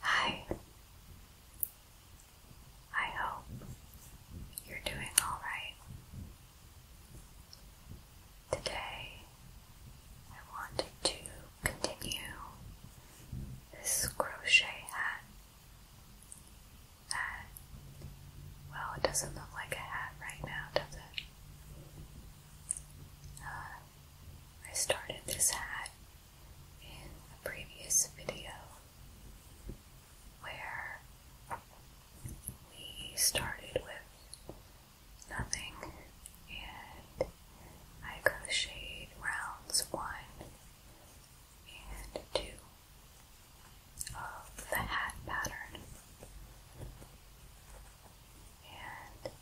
Hi. I hope you're doing all right. Today, I wanted to continue this crochet hat that, well, it doesn't look like a hat right now, does it? Uh, I started this hat in a previous video where we started with nothing and I crocheted rounds one and two of the hat pattern. And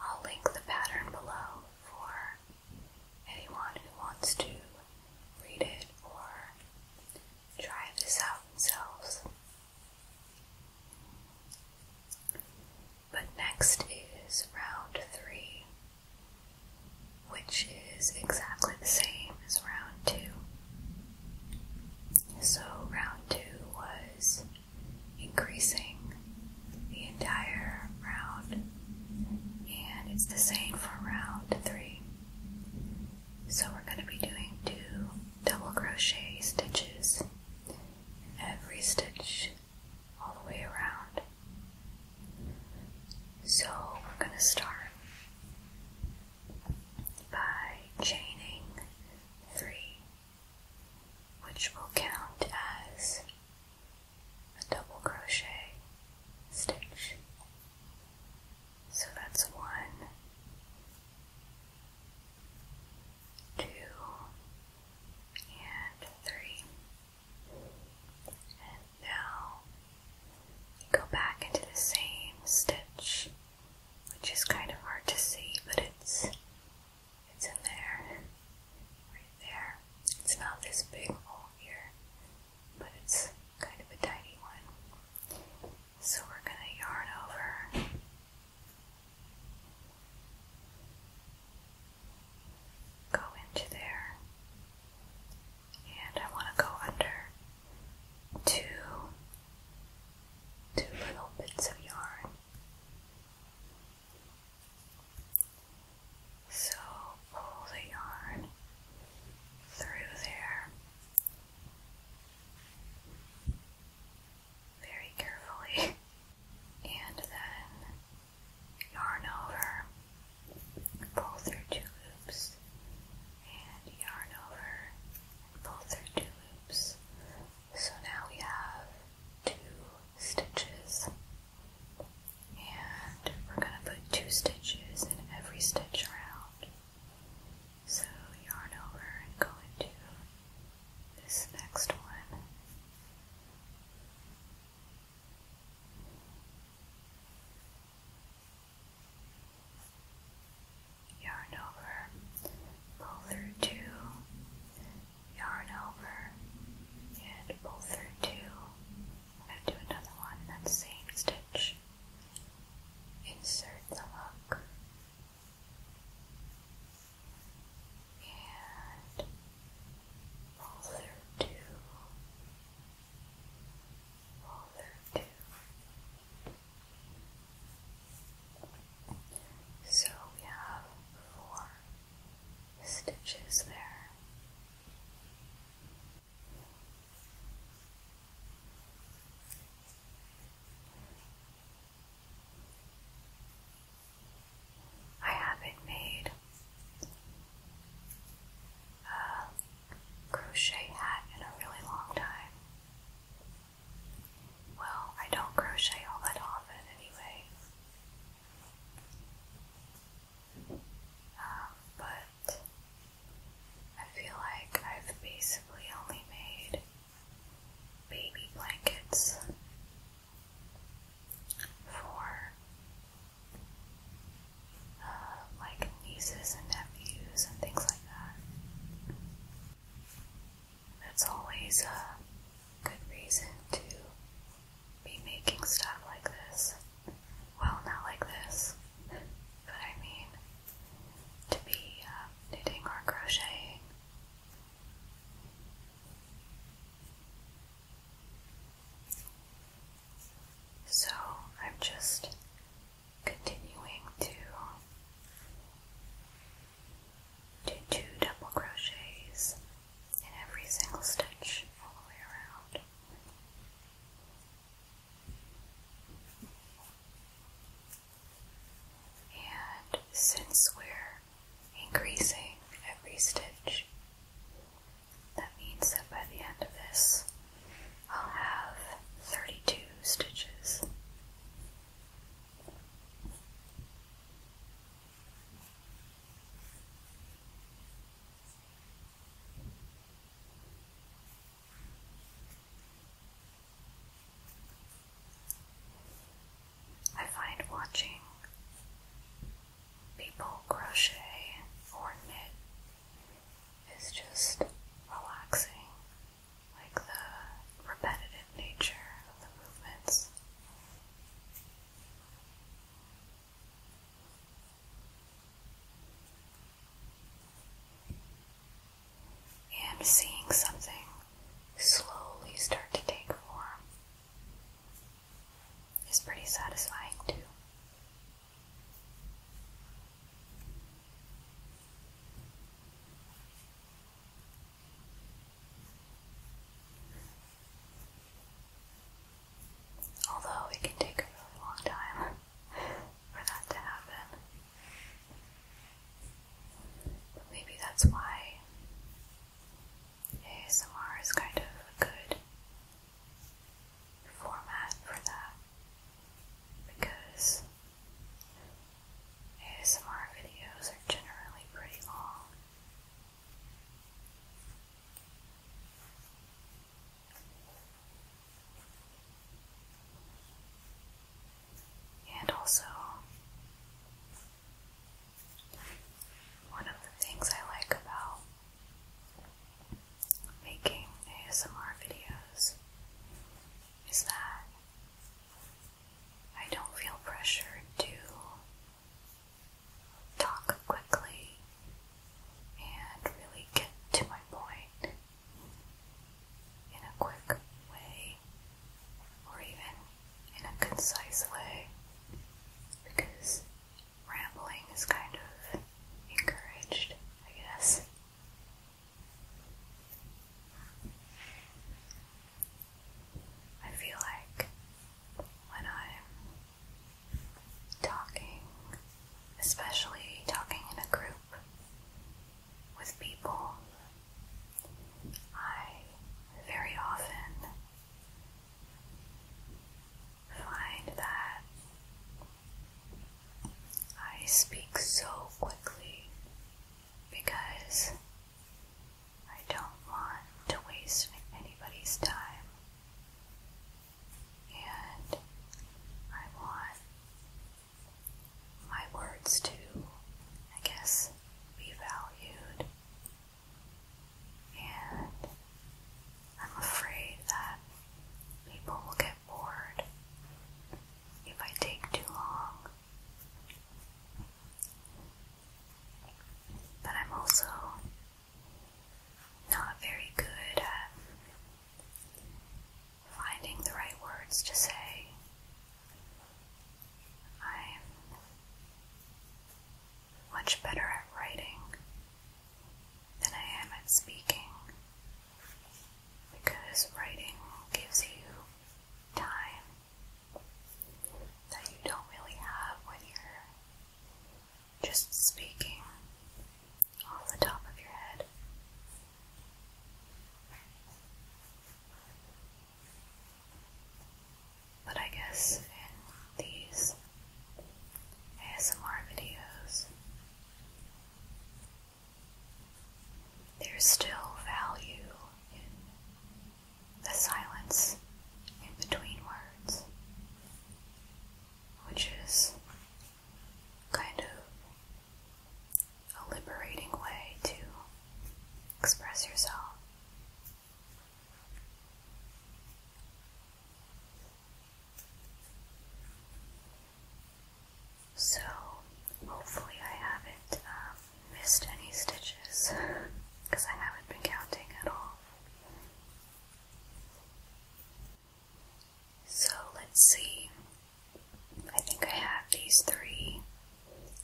I'll link the pattern below for anyone who wants to read it or try this out themselves. But next is round three, which is exactly the same as round two. So, round two was increasing the entire round, and it's the same for round three. So, we're going to be doing two double crochet stitches every stitch all the way around. So, we're going to start by chaining 3, which will count as a double crochet stitch. So that's 1, 2, and 3. And now go back into the same stitch which is kind of hard to see, but it's it's in there, right there. It's not this big hole here, but it's kind of a tiny one. So we're gonna yarn over. Go into there, and I want to go under two two little bits of yarn. So pull the yarn through there very carefully and then yarn over, pull through two loops, and yarn over, pull through two loops so now we have two stitches, and we're going to put two stitches in every stitch around. So yarn over and go into this next one yarn over, pull through two, yarn over, and pull through two. I'm going to do another one, that's same stitch. Insert the hook and pull through two, pull through two, so we have four stitches there. I haven't made a crochet hat in a really long time. Well, I don't crochet all that often anyway. Um, but I feel like I've basically only made baby blankets for uh, like nieces and nephews and things like that that's always a good reason to be making stuff like this. Well, not like this, but I mean to be um, knitting or crocheting. So I'm just continuing to do two double crochets in every single stitch all the way around. And since we're increasing every stitch, that means that by the end of this, I'll have 32 stitches I find watching people crochet or knit is just relaxing like the repetitive nature of the movements. And seeing something slowly start to take form is pretty satisfying too. Although it can take a long time for that to happen. maybe that's why ASMR is kind of a good format for that because ASMR videos are generally pretty long. And also, one of the things I like about making ASMR videos is that I don't feel pressured to talk quickly and really get to my point in a quick way or even in a concise way because rambling is kind of encouraged, I guess. I feel like when I'm talking, especially talking in a group with people, I very often find that I speak so quickly because I don't want to waste anybody's time. And I want my words to, I guess, be valued. And I'm afraid that people will get bored if I take too long but I'm also not very good at finding the right words to say. I'm much better at writing than I am at speaking because writing gives you time that you don't really have when you're just speaking off the top of your head. But I guess in these ASMR videos, there's still value in the silence in between words, which is kind of a liberating way to express yourself. So, hopefully, I haven't um, missed any stitches because I haven't been counting at all. So let's see. I think I have these three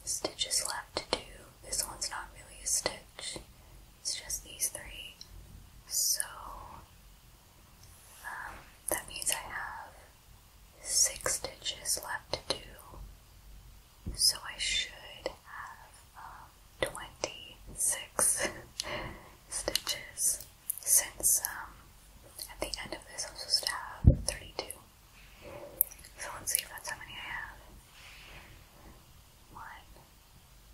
stitches left to do. This one's not really a stitch, it's just these three. So um, that means I have six stitches left to do so I should have um, 26 stitches since um, at the end of this I'm supposed to have 32. So let's see if that's how many I have. One,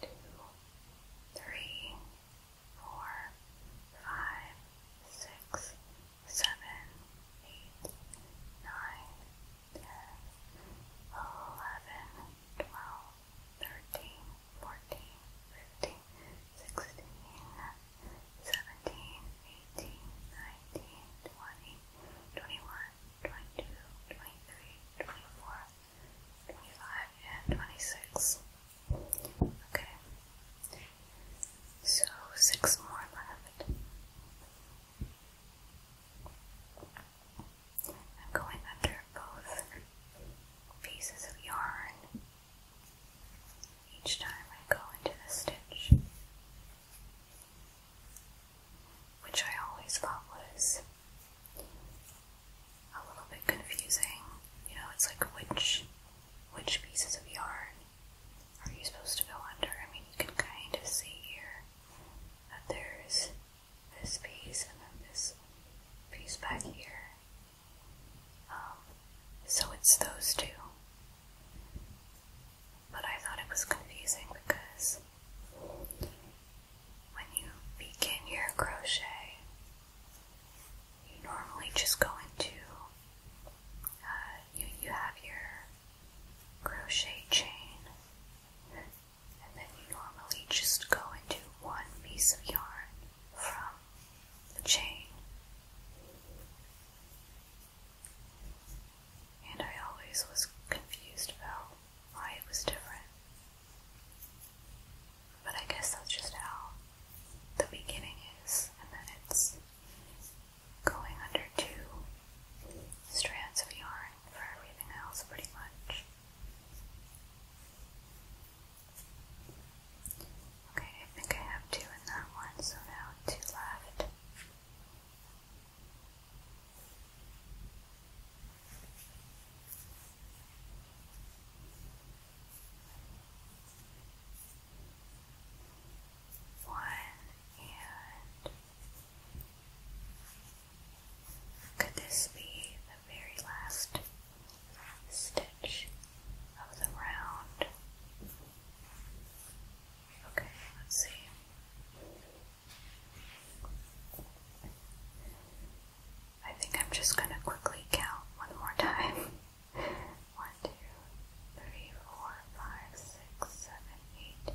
two, three, four, five, six, seven, eight, nine, ten, eleven, twelve, thirteen, fourteen, fifteen, sixteen, seventeen, eighteen, nineteen, twenty, twenty-one, twenty-two, twenty-three, twenty-four, twenty-five, and twenty-six. Okay. So six more left. I'm going under both pieces of yarn each time I go into the stitch, which I always thought was a little bit confusing. You know, it's like which which pieces of yarn are you supposed to go under? I mean, you can kind of see here that there's this piece and then this piece back here. Um, so it's those two. But I thought it was confusing because when you begin your crochet, you normally just go into, uh, you, you have your crochet chain, and then you normally just go into one piece of yarn from the chain. And I always was confused about why it was different. But I guess that's just how the beginning is, and then it's going under two strands of yarn for everything else, pretty much. Okay, I think I have two in that one, so now two left. One and could this be the very last stitch of the round? Okay, let's see. I think I'm just going to quickly count one more time. one, two, three, four, five, six, seven, eight.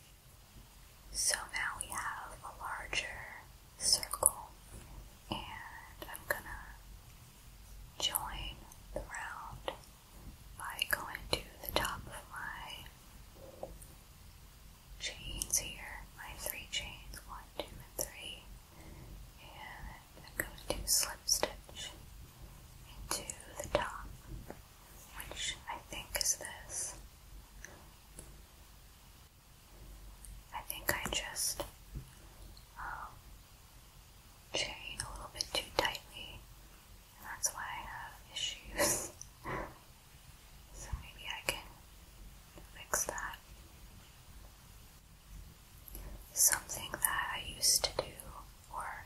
So now we have a larger circle, and I'm gonna join the round by going to the top of my chains here, my three chains, one, two, and three, and I'm going to slip stitch into the top which I think is this. I think I just um, chain a little bit too tightly, and that's why I have issues. so maybe I can fix that. Something that I used to do, or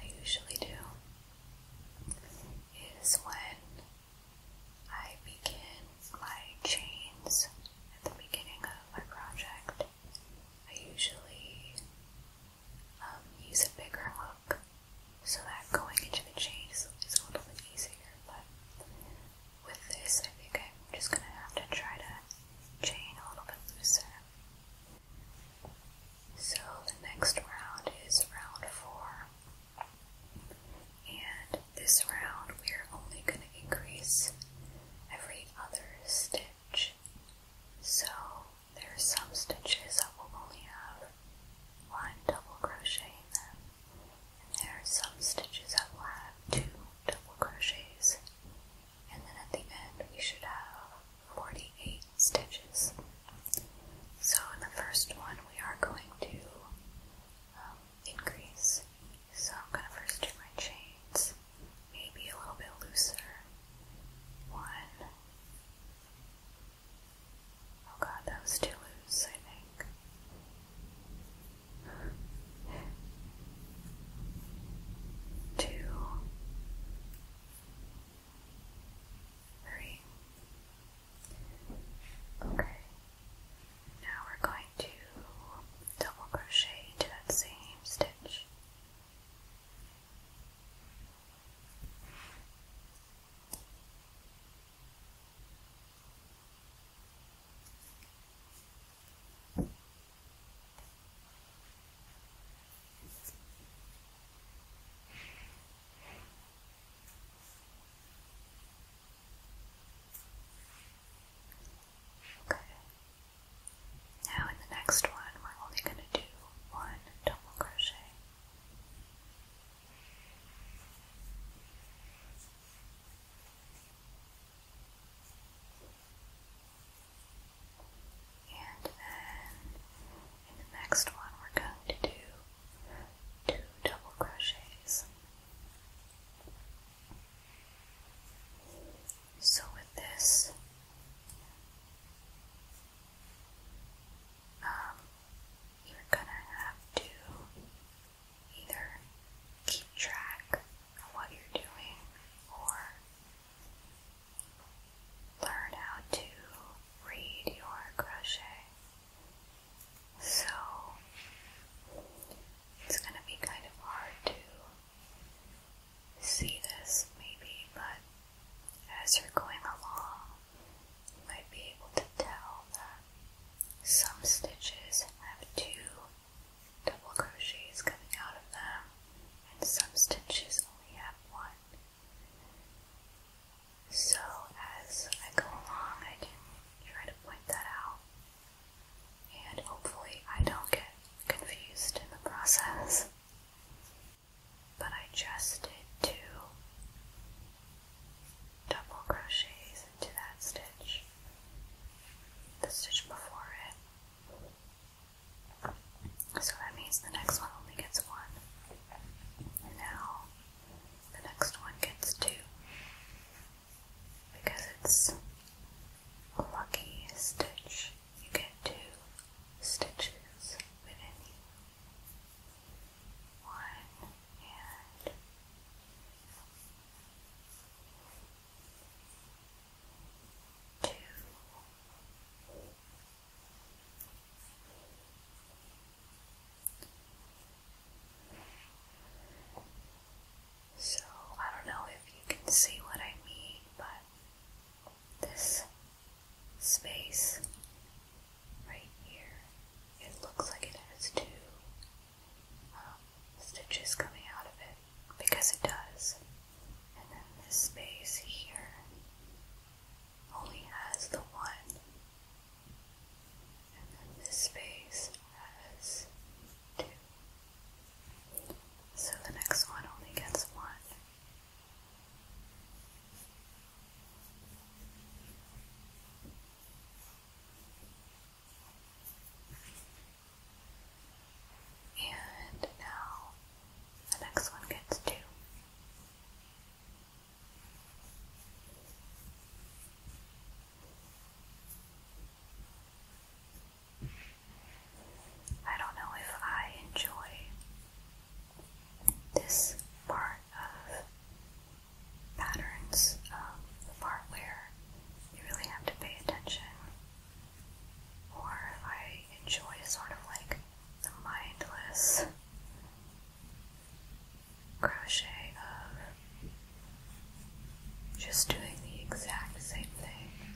I usually do, is when I begin my chains at the beginning of my project. I usually um, use a bigger hook so that going into the chains is a little bit easier, but with this I think I'm just going to have to try to chain a little bit looser. So the next round is round four. And this round we're only going to increase every other stitch. So there are some stitches that will only have one double crochet in them. And there are some stitches that will have two double crochets. And then at the end we should have 48 stitches. So, in the first one, we are going to um, increase. So, I'm going to first do my chains, maybe a little bit looser. One. Oh god, that was too loose, I think. Two. Three. Okay, now we're going to double crochet into that same stitch. Okay. Now in the next one, we're only going to do one double crochet. And then in the next one, we're going to do two double crochets. So with this, um, you're gonna have to either keep track of what you're doing or learn how to read your crochet. So it's going to be kind of hard to see this, maybe, but as you're going along, you might be able to tell that some stitches have two double crochets coming out of them, and some stitches only have one. So as I go along, I can try to point that out, and hopefully I don't get confused in the process. But I just did two double crochets into that stitch, the stitch before it. So that means the next one only gets one. now the next one gets two because it's a lucky stitch. You get two stitches within you. One and two. So, I don't know if you can see what I mean, but this space right here, it looks like it has two um, stitches coming out of it because it does. And then this space here only has the one. And then this space has two. So the next one only gets one. And now the next one gets two. I don't know if I enjoy this part of patterns, the part where you really have to pay attention, or if I enjoy sort of like the mindless crochet of just doing the exact same thing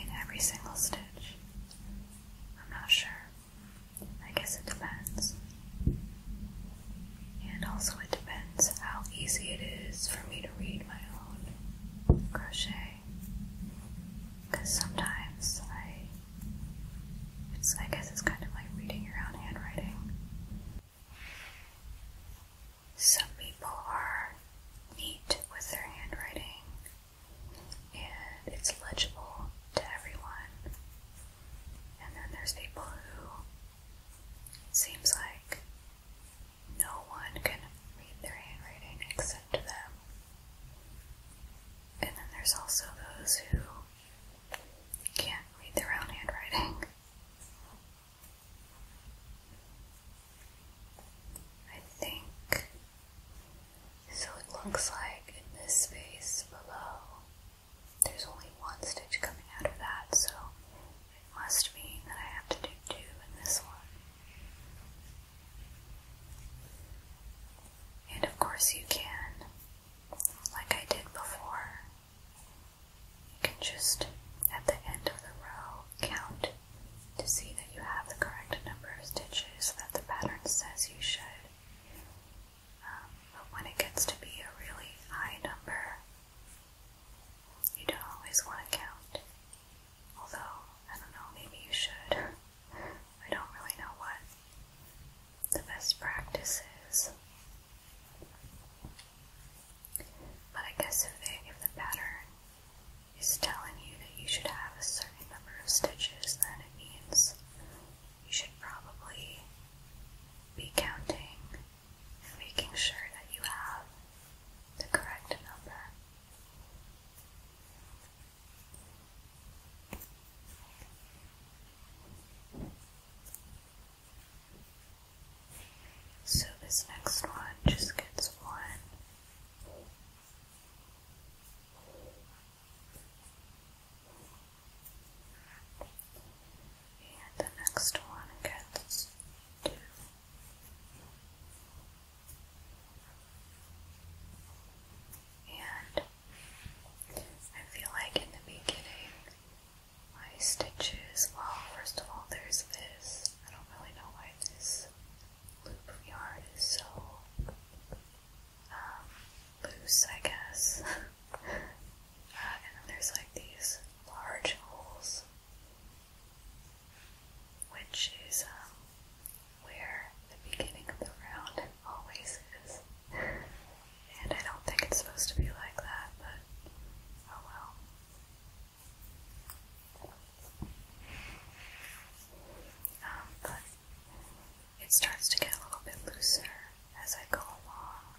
in every single stitch. I'm not sure. I guess it depends. And also, it depends how easy it is for me to read my own crochet. Because sometimes I it's, I guess it's kind of like reading your own handwriting. Some people are neat with their handwriting and it's legible to everyone. And then there's people who it seems like no one can read their handwriting except them. And then there's also those who can't read their own handwriting. I think so. It looks like in this space below, there's only one stitch coming out of that, so it must mean that I have to do two in this one. And of course, you can like I did before. You can just, at the end of the row, count to see that you have the correct number of stitches that the pattern says you should. Um, but when it gets to be a really high number, you don't always want to count. Although, I don't know, maybe you should. I don't really know what the best practice is. But I guess if, the pattern is telling you that you should have a certain number of stitches, then it means you should probably be counting and making sure that you have the correct number. So this next one just gets one. And the next one gets two. And I feel like in the beginning, my stitches, well, first of all, there's this. I don't really know why this loop of yarn is so um, loose, I guess. Uh, and then there's like these large holes, which is um, where the beginning of the round it always is. and I don't think it's supposed to be like that, but oh well. Um, but it starts to get a little bit looser as I go along,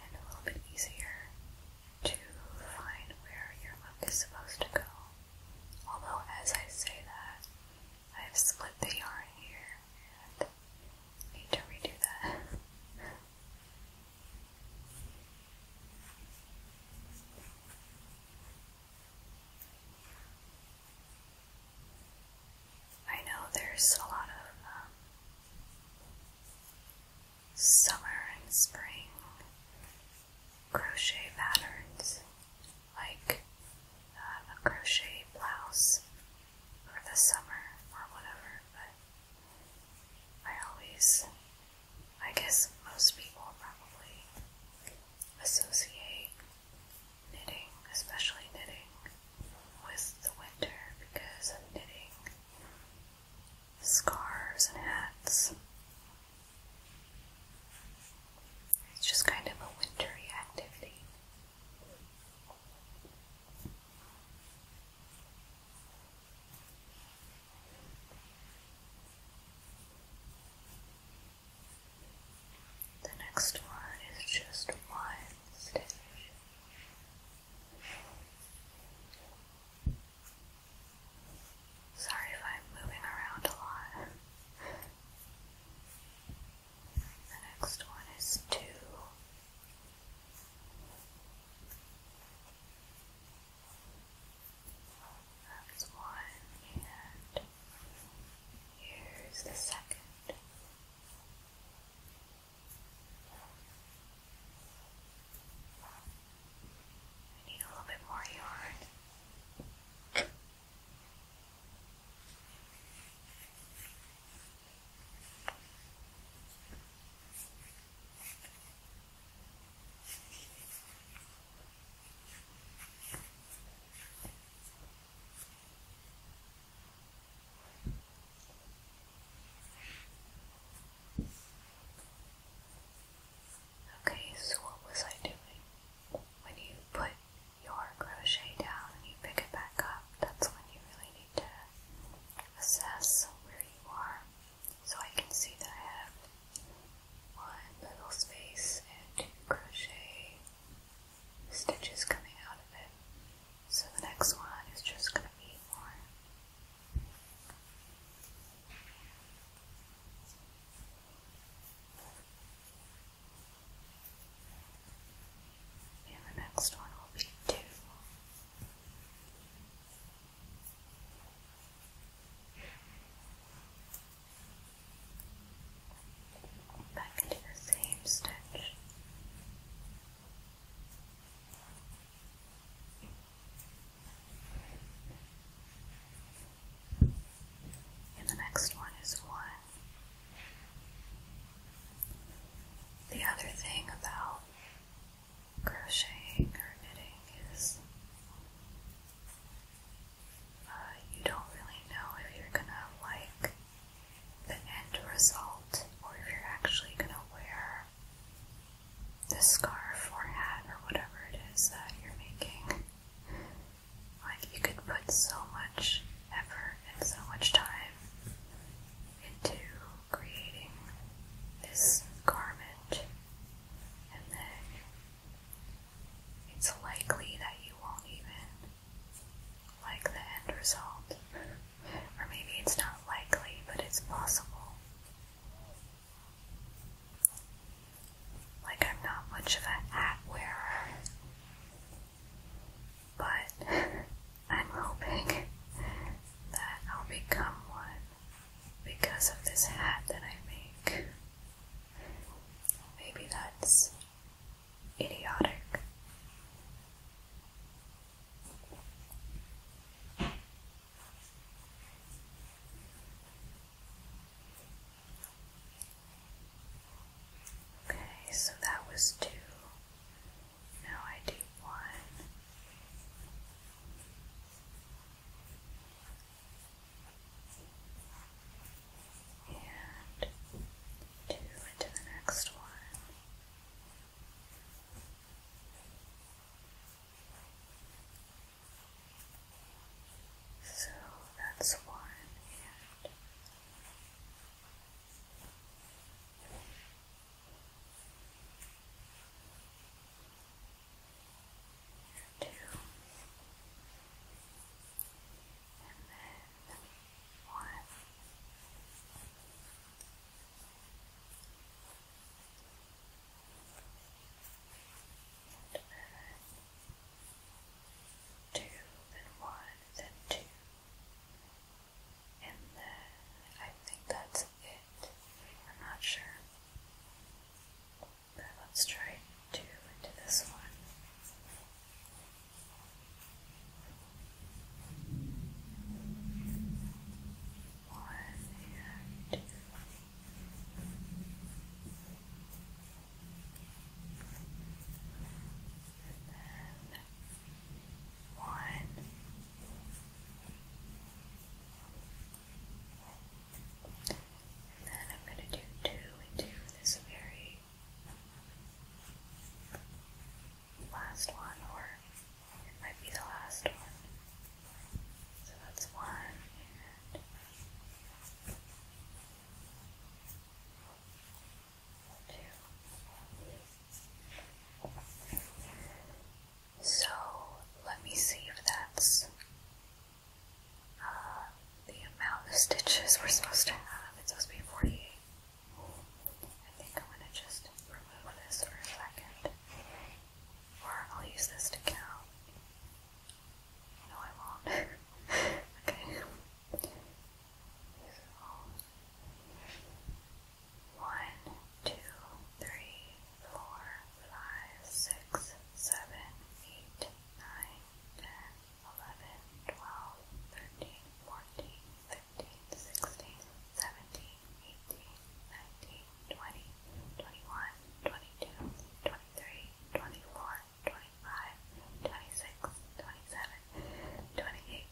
and a little bit easier to find where your look is supposed to go. Although, as I say that, I have split the yarn here need to redo that. I know there's a lot of um, summer and spring crochet patterns, like uh, a crochet blouse or the summer or whatever, but I always, I guess most people probably associate knitting, especially knitting, with the winter because of knitting scarves and hats. It's just kind of a wintry activity. The next one is just one stitch. Sorry if I'm moving around a lot. The next one is two. That's one, and here's the second. I need a little bit more yarn. Okay, so what was I doing when you put your crochet down and you pick it back up, that's when you really need to assess where you are. So I can see that I have one little space and crochet stitches coming out of it. So the next one is just going to be more. And the next one will be two. Back into the same stitch. And the next one is one. The other thing about crocheting or knitting is uh, you don't really know if you're gonna like the end result or if you're actually gonna wear the scarf or hat or whatever it is that you're making. Like, you could put so much effort and so much time into creating this garment, and then it's likely that you won't even like the end result. Or maybe it's not likely, but it's possible. Like, I'm not much of an hat wearer but I'm hoping that I'll become one because of this hat that I make. Maybe that's idiotic. Okay, so that was two. Now I do one. And two into the next one. So that's one and two, and then one. And then two, then one, then two, and I think that's it. I'm not sure. But let's try two into this one. One and two. And then one. And then I'm going to do two into this very last one, or it might be the last one. So that's one so let me see if that's uh, the amount of stitches we're supposed to have. It's supposed to be 48. I think I'm going to just remove this for a second. Or I'll use this to count. No, I won't. okay. One, two, three, four, five, six, seven, eight, nine, ten, eleven, twelve, thirteen, fourteen, fifteen, sixteen, seventeen, eighteen, nineteen, twenty, twenty-one, twenty-two, twenty-three, twenty-four, twenty-five, twenty-six, twenty-seven, twenty-eight.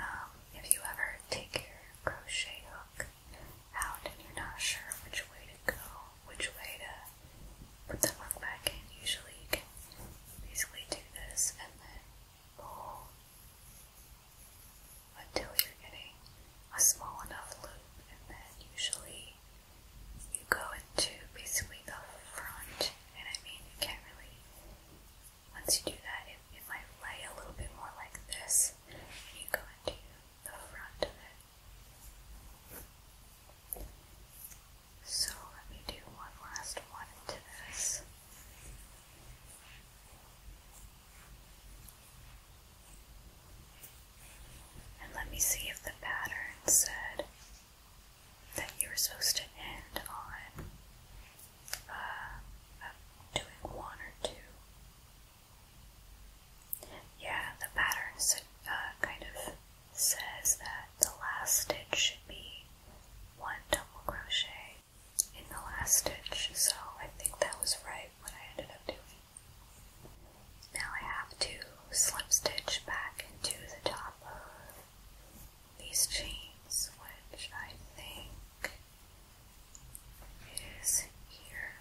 Um, if you ever take your crochet hook out and you're not sure which way to go, which way to put the hook back in, usually you can basically do this and then pull until you're getting a small enough loop, and then usually you go into basically the front, and I mean, you can't really, once you do that, it, it might lay a little bit more like this, and you go into the front of it. So let me do one last one into this. And let me see if the pattern said that you were supposed to end on uh, doing one or two. Yeah, the pattern uh, kind of says that the last stitch should be one double crochet in the last stitch, so I think that was right what I ended up doing. Now I have to slip stitch back into the top of these chains, which I think is here.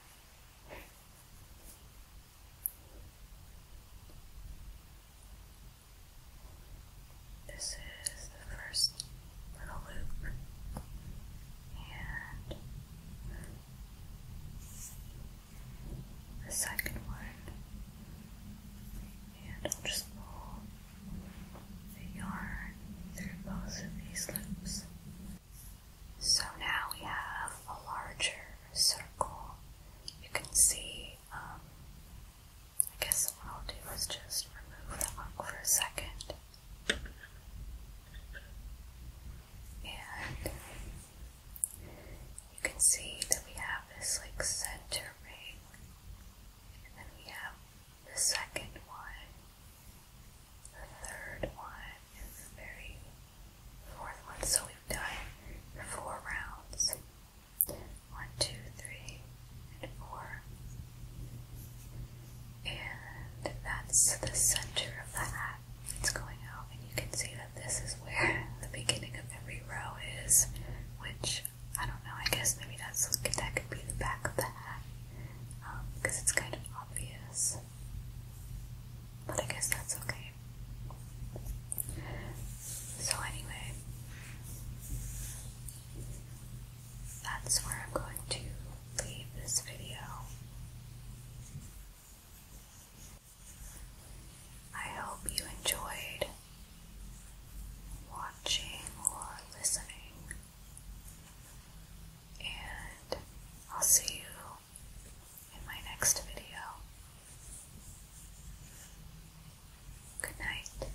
This is the first little loop, and the second one, and just pull the yarn through both of these loops. So now we have a larger circle. You can see, um, I guess what I'll do is just remove the hook for a second. And you can see that we have this like center ring, and then we have the second one, the third one, and the very fourth one. So we've done four rounds. One, two, three, and four and that's the center of the hat that's going out and you can see that this is where the beginning of every row is which I don't know I guess maybe that's that could be the back of the hat because um, it's kind of obvious but I guess that's okay so anyway that's where I'm going to leave this video I hope you enjoyed watching or listening, and I'll see you in my next video. Good night.